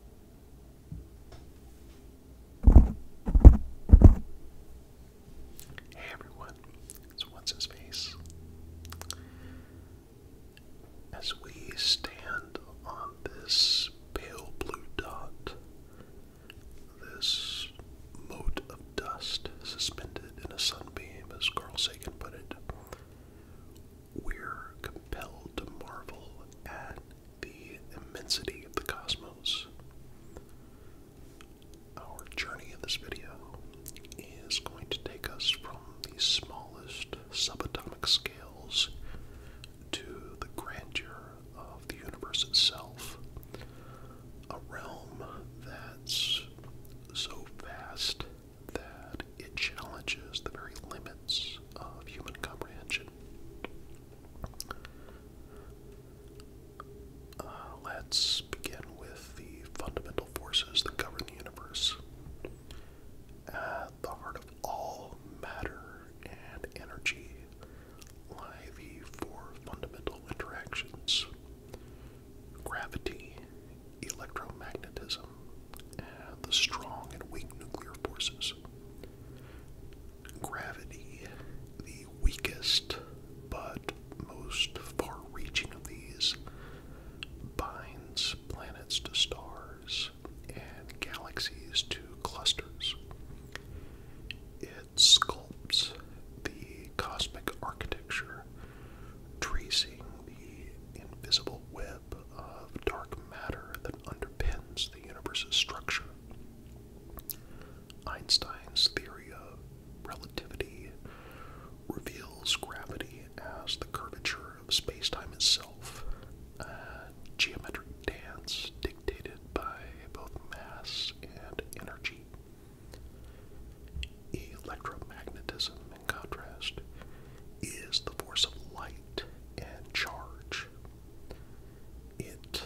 Hey everyone, it's What's His Face. As we stand on this pale blue dot, this mote of dust suspended in a sunbeam, as Carl Sagan put it, we're compelled to marvel at the immensity of the cosmos. Our journey in this video is going to take us from the smallest subatomic scales to the grandeur of the universe itself, a realm that's so vast that it challenges the very limits of human comprehension. Uh, let's begin with the fundamental forces that govern the universe. At the heart of all matter and energy lie the four fundamental interactions gravity, electromagnetism, the strong and weak nuclear forces. Gravity, the weakest but most far reaching of these, binds planets to stars and galaxies to clusters. It sculpts the cosmic architecture, tracing the invisible web of dark matter underpins the universe's structure. Einstein's theory of relativity reveals gravity as the curvature of spacetime itself, a geometric dance dictated by both mass and energy. Electromagnetism, in contrast, is the force of light and charge it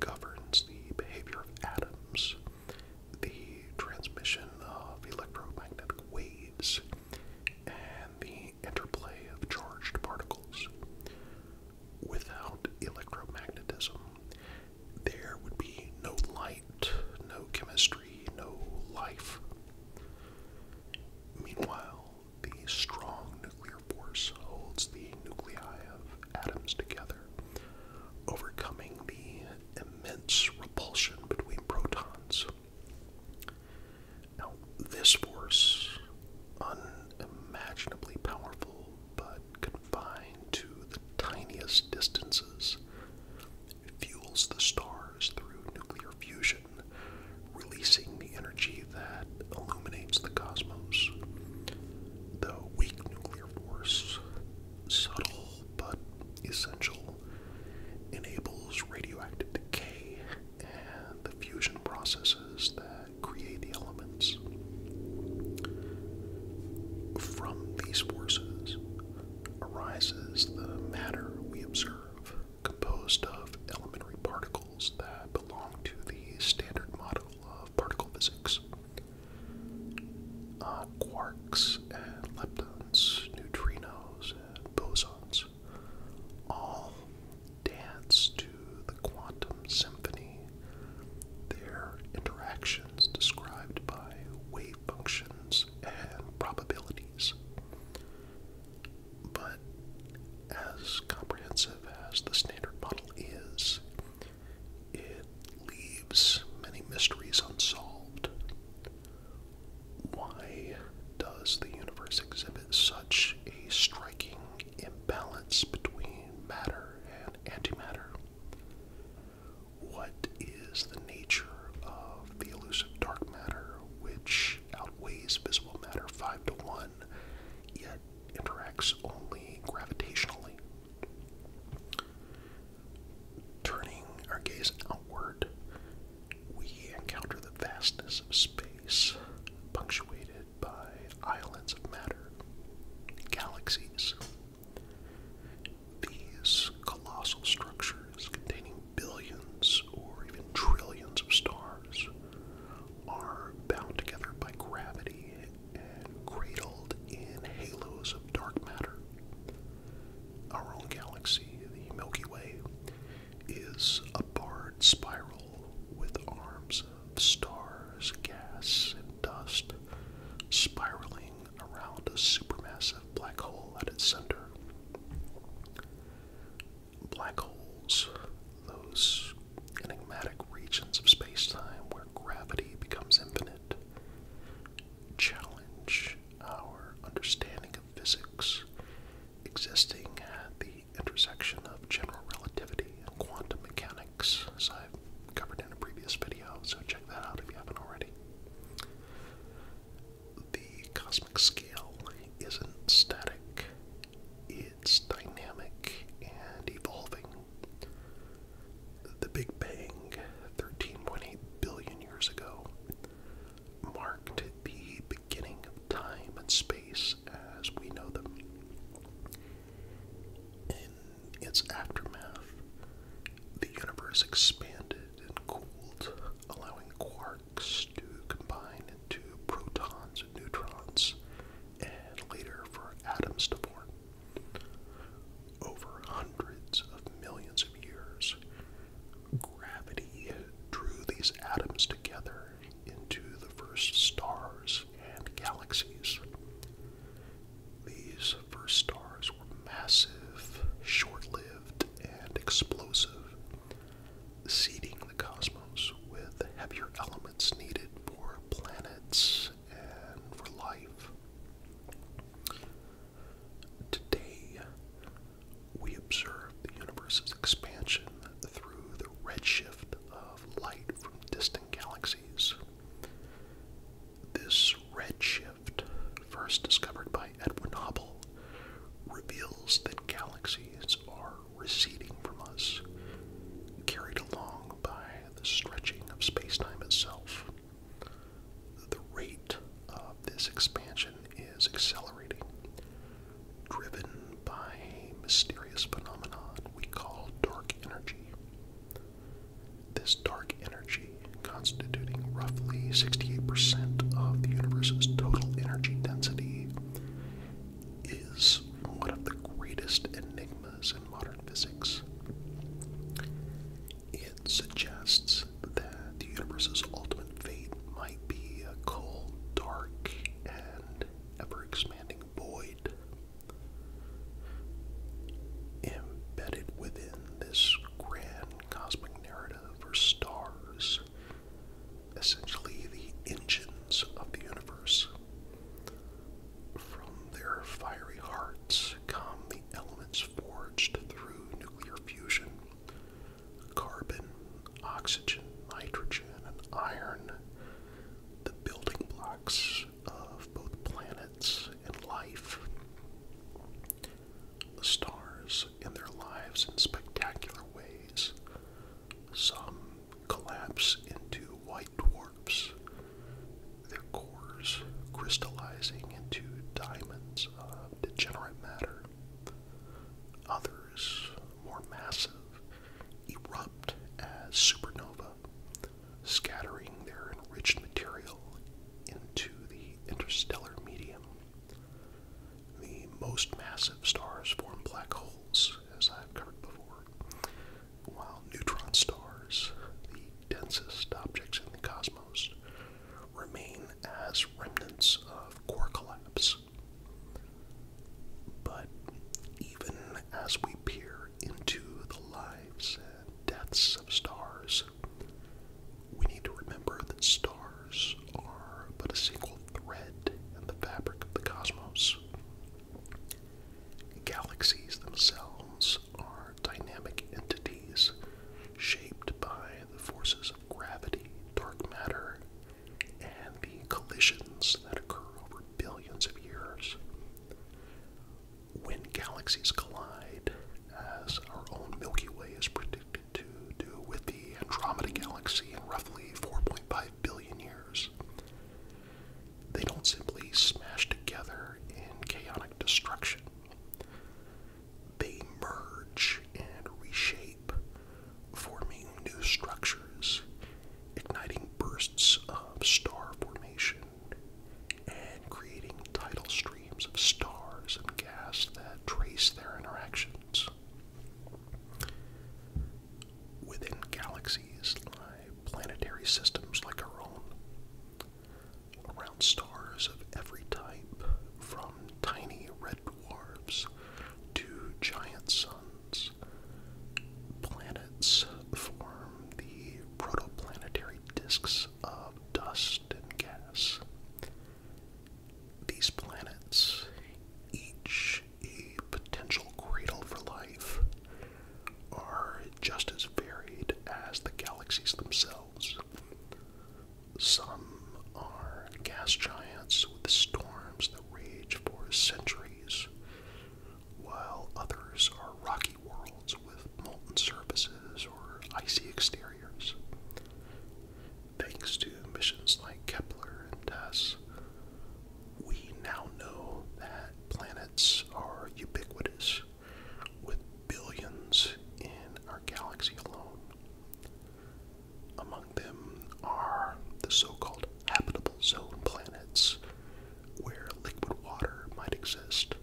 governs the behavior of atoms, the transmission of electromagnetic waves, and the interplay of charged particles. Without electromagnetism, there would be no light, no chemistry, no life. Meanwhile, the strong nuclear force holds the nuclei of atoms together, overcoming the immense repulsion between protons. Now, this force, unimaginably powerful but confined to the tiniest distances, fuels the stars through nuclear fusion, releasing the energy that illuminates the cosmos. The weak nuclear force, subtle but essential, enables radioactive decay and the fusion processes that create the elements. From these forces arises the matter we observe, composed of elementary particles that belong to the standard model of particle physics. Uh, quarks and leptons, neutrinos and bosons all dance to the quantum symphony. Their interactions described by wave functions and probabilities but as comprehensive as the standard model is, it leaves many mysteries unsolved. Why does the universe exhibit such a striking imbalance between matter and antimatter? What is the nature of the elusive dark matter which outweighs visible matter 5 to 1? one, yet interacts only gravitationally. Turning our gaze outward, we encounter the vastness of space, punctuated by islands of matter, galaxies. These colossal structures containing billions or even trillions of stars are bound together by gravity and cradled in halos of dark matter. Our own galaxy, the Milky Way, is a barred spiral with arms of stars, gas, and dust spiraling around a supermassive black hole at its center. Black holes, those enigmatic regions of space time where gravity becomes infinite, challenge our understanding of physics existing at the intersection of general relativity and quantum mechanics, as I've covered in a previous video, so check that out if you haven't already. The cosmic scale isn't static, it's dynamic and evolving. The Big Bang, 13.8 billion years ago, marked the beginning of time and space as we know them. In its aftermath, the universe expanded and cooled, allowing quarks to combine into protons and neutrons, and later for atoms to form. Over hundreds of millions of years, gravity drew these atoms together into the first stars and galaxies. These first stars were massive, short lived, and explosive, seeding the cosmos with the heavier elements needed for planets and for life. Today, we observe the universe's expansion through the redshift of light from distant galaxies. This redshift, first discovered by Edwin Hubble, reveals that galaxies are receding from us, carried along by the stretching of spacetime itself. The rate of this expansion is accelerating, driven by a mysterious phenomenon we call dark energy. This dark energy, constituting roughly 68% of the universe's total energy density, is one of the greatest enigmas in modern physics. It suggests that the universe's ultimate fate might be a cold, dark, and ever expanding void. Embedded within this grand cosmic narrative are stars essentially the engines of the universe. From their fiery hearts come the elements forged through nuclear fusion carbon, oxygen, nitrogen, and iron, the building blocks of both planets and life. The stars in their lives in spectacular ways some collapse into white dwarfs, their cores crystallizing into diamonds of degenerate matter. Others, more massive, erupt as supernovae, scattering their enriched material into the interstellar medium. The most massive stars form black holes, as I've covered before, while neutron stars, the densest objects in the cosmos, remain as remnants of core collapse. But even as we peer into the lives and deaths of stars, we need to remember that stars are but a single thread in the fabric of the cosmos. Galaxies themselves are dynamic entities shaped by the forces of gravity, dark matter, and the collisions that occur over billions of years. When galaxies collide, as our own Milky Way is predicted to do with the Andromeda Galaxy in roughly 4.5 billion years. They don't simply smash together in chaotic destruction, they merge and reshape, forming new structures, igniting bursts of star formation. And creating tidal streams of stars and gas that trace their interactions. Within galaxies lie planetary systems like our own. Around stars of every type, from tiny red dwarfs to giant suns, planets form the protoplanetary disks of dust and gas. These planets, each a potential cradle for life, are just as varied as the galaxies themselves. Some are gas giants with storms that rage for centuries, while others are rocky worlds with molten surfaces or icy exteriors. Thanks to missions like Kepler and TESS, we now know that planets are ubiquitous, with billions in our galaxy alone. Among them are the so called habitable zone planets, where liquid water might exist,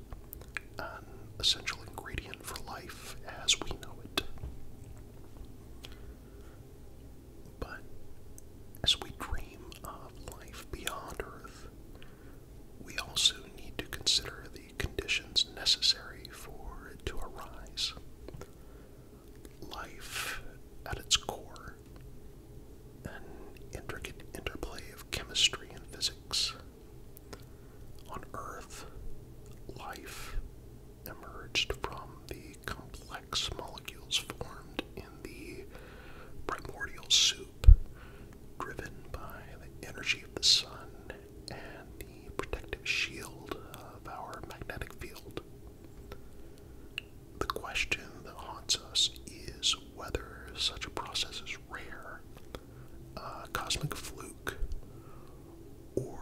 an essential ingredient for life as we know it. But as we dream of life beyond Earth, we also need to consider the conditions necessary for it to arise. Life, at its core, an intricate interplay of chemistry and physics. On Earth, life emerged from the complex molecules formed in the primordial soup, driven by the energy of the sun and the protective shield of our magnetic field. The question that haunts us is whether such a process is rare, a cosmic fluke, or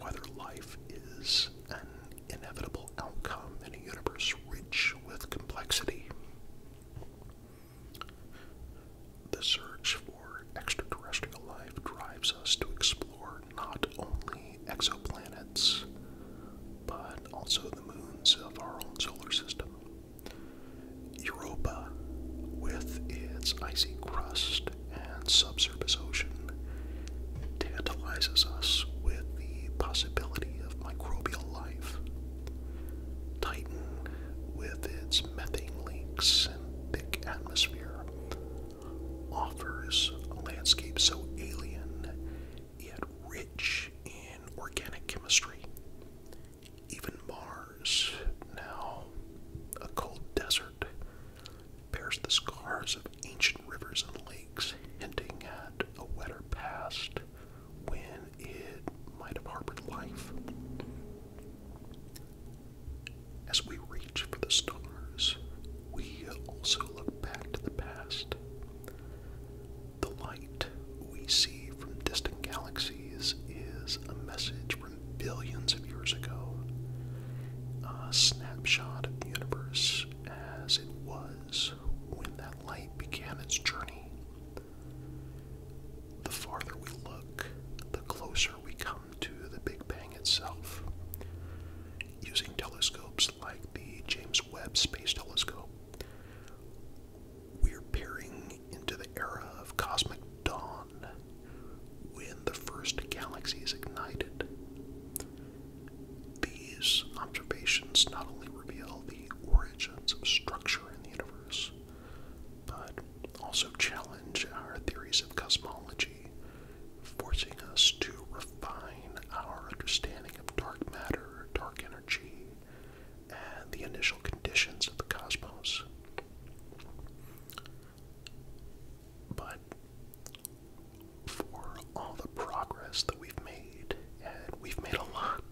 whether life is an inevitable outcome in a universe rich with complexity. The search for extraterrestrial life drives us to explore not only exoplanets, but also the moons of our own solar system. Europa, with its icy crust and subsurface ocean tantalizes us with the possibility of microbial life. Titan, with its methane lakes and thick atmosphere, offers a landscape so alien yet rich in organic chemistry. Even Mars, now a cold desert, bears the scars of ancient rivers and lakes, hinting at a wetter past when it might have harbored life. As we reach for the stars, we also look back to the past. The light we see from distant galaxies is a message from billions of years ago. A snapshot of the universe as it was when that light began its journey. The farther we look, the closer we come to the Big Bang itself. Using telescopes like the James Webb Space Telescope, we're peering into the era of cosmic dawn when the first galaxies ignited. These observations not only reveal the origins of structure in the universe, but also challenge our theories of cosmology, forcing us to refine our understanding of dark matter, dark energy, and the initial conditions of the cosmos. But for all the progress that we've made, and we've made a lot,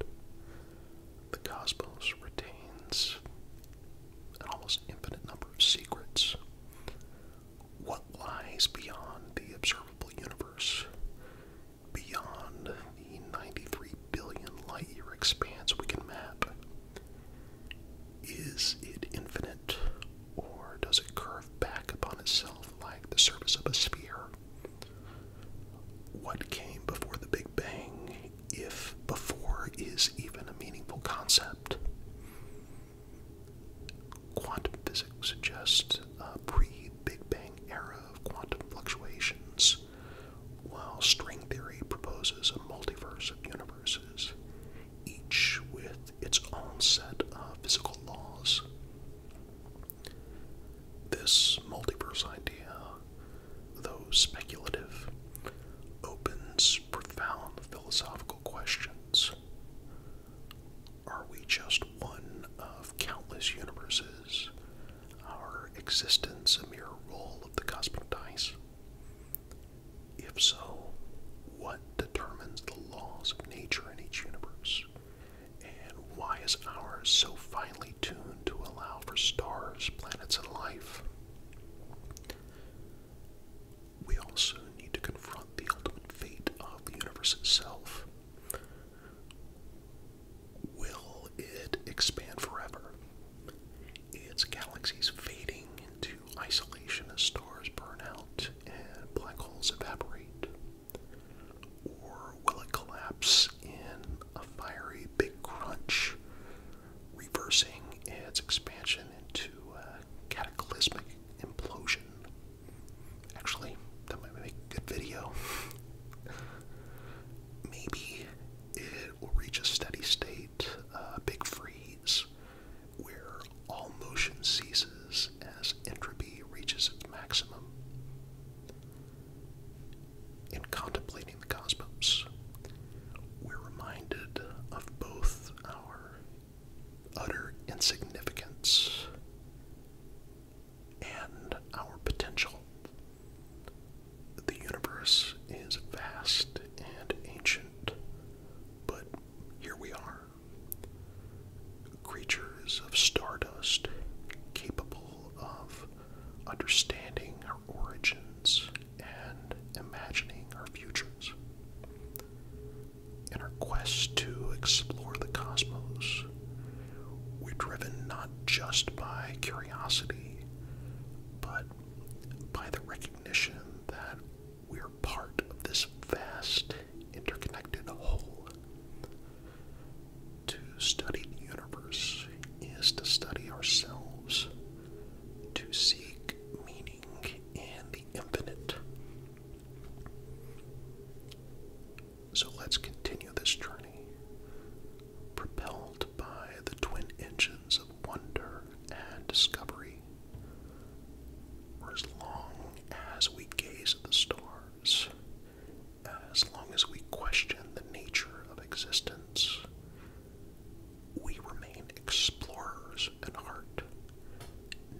the cosmos retains an almost infinite number of secrets. What lies beyond the observable universe, beyond the 93 billion light year expanse we can map, is it infinite, or does it curve back upon itself like the surface of a sphere? What came before the Big Bang, if before is even a meaningful concept? Quantum physics suggests a pre Big Bang era of quantum fluctuations, while string theory proposes a multiverse of universes each with its own set of physical laws. This multiverse idea, though speculative, opens profound philosophical questions. Are we just one of countless universes? Our existence a mere roll of the cosmic dice? If so, what determines the laws of nature in each universe? And why is ours so finely tuned to allow for stars, planets, and life? We also need to confront the ultimate fate of the universe itself. Will it expand forever? Its galaxies fading into isolation as stars burn out and black holes evaporate? Or will it collapse in a fiery big crunch, reversing its expansion into a cataclysmic implosion? Actually, that might make a good video. Maybe it will reach a steady state, a uh, big freeze, where all motion ceases as entropy reaches its maximum. In contemplating the cosmos, we're reminded of both our utter insignificance and our potential. The universe is vast and ancient, but here we are, creatures of stardust capable of understanding our origins and imagining our futures. In our quest to explore the cosmos, we're driven not just by curiosity, but by the recognition that we are part of this vast, interconnected whole. To study the universe is to study ourselves, to seek meaning in the infinite. So let's continue this journey, propelled by the twin engines of wonder and discovery day, as long as we gaze at the stars, as long as we question the nature of existence, we remain explorers at heart,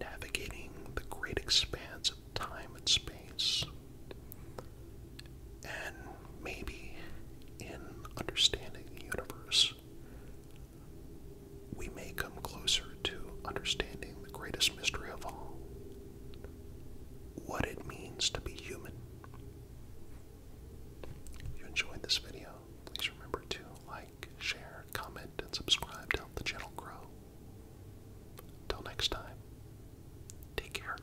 navigating the great expanse of time and space. And maybe in understanding the universe, we may come closer to understanding the greatest mystery of all what it means to be human. If you enjoyed this video, please remember to like, share, comment, and subscribe to help the channel grow. Until next time, take care.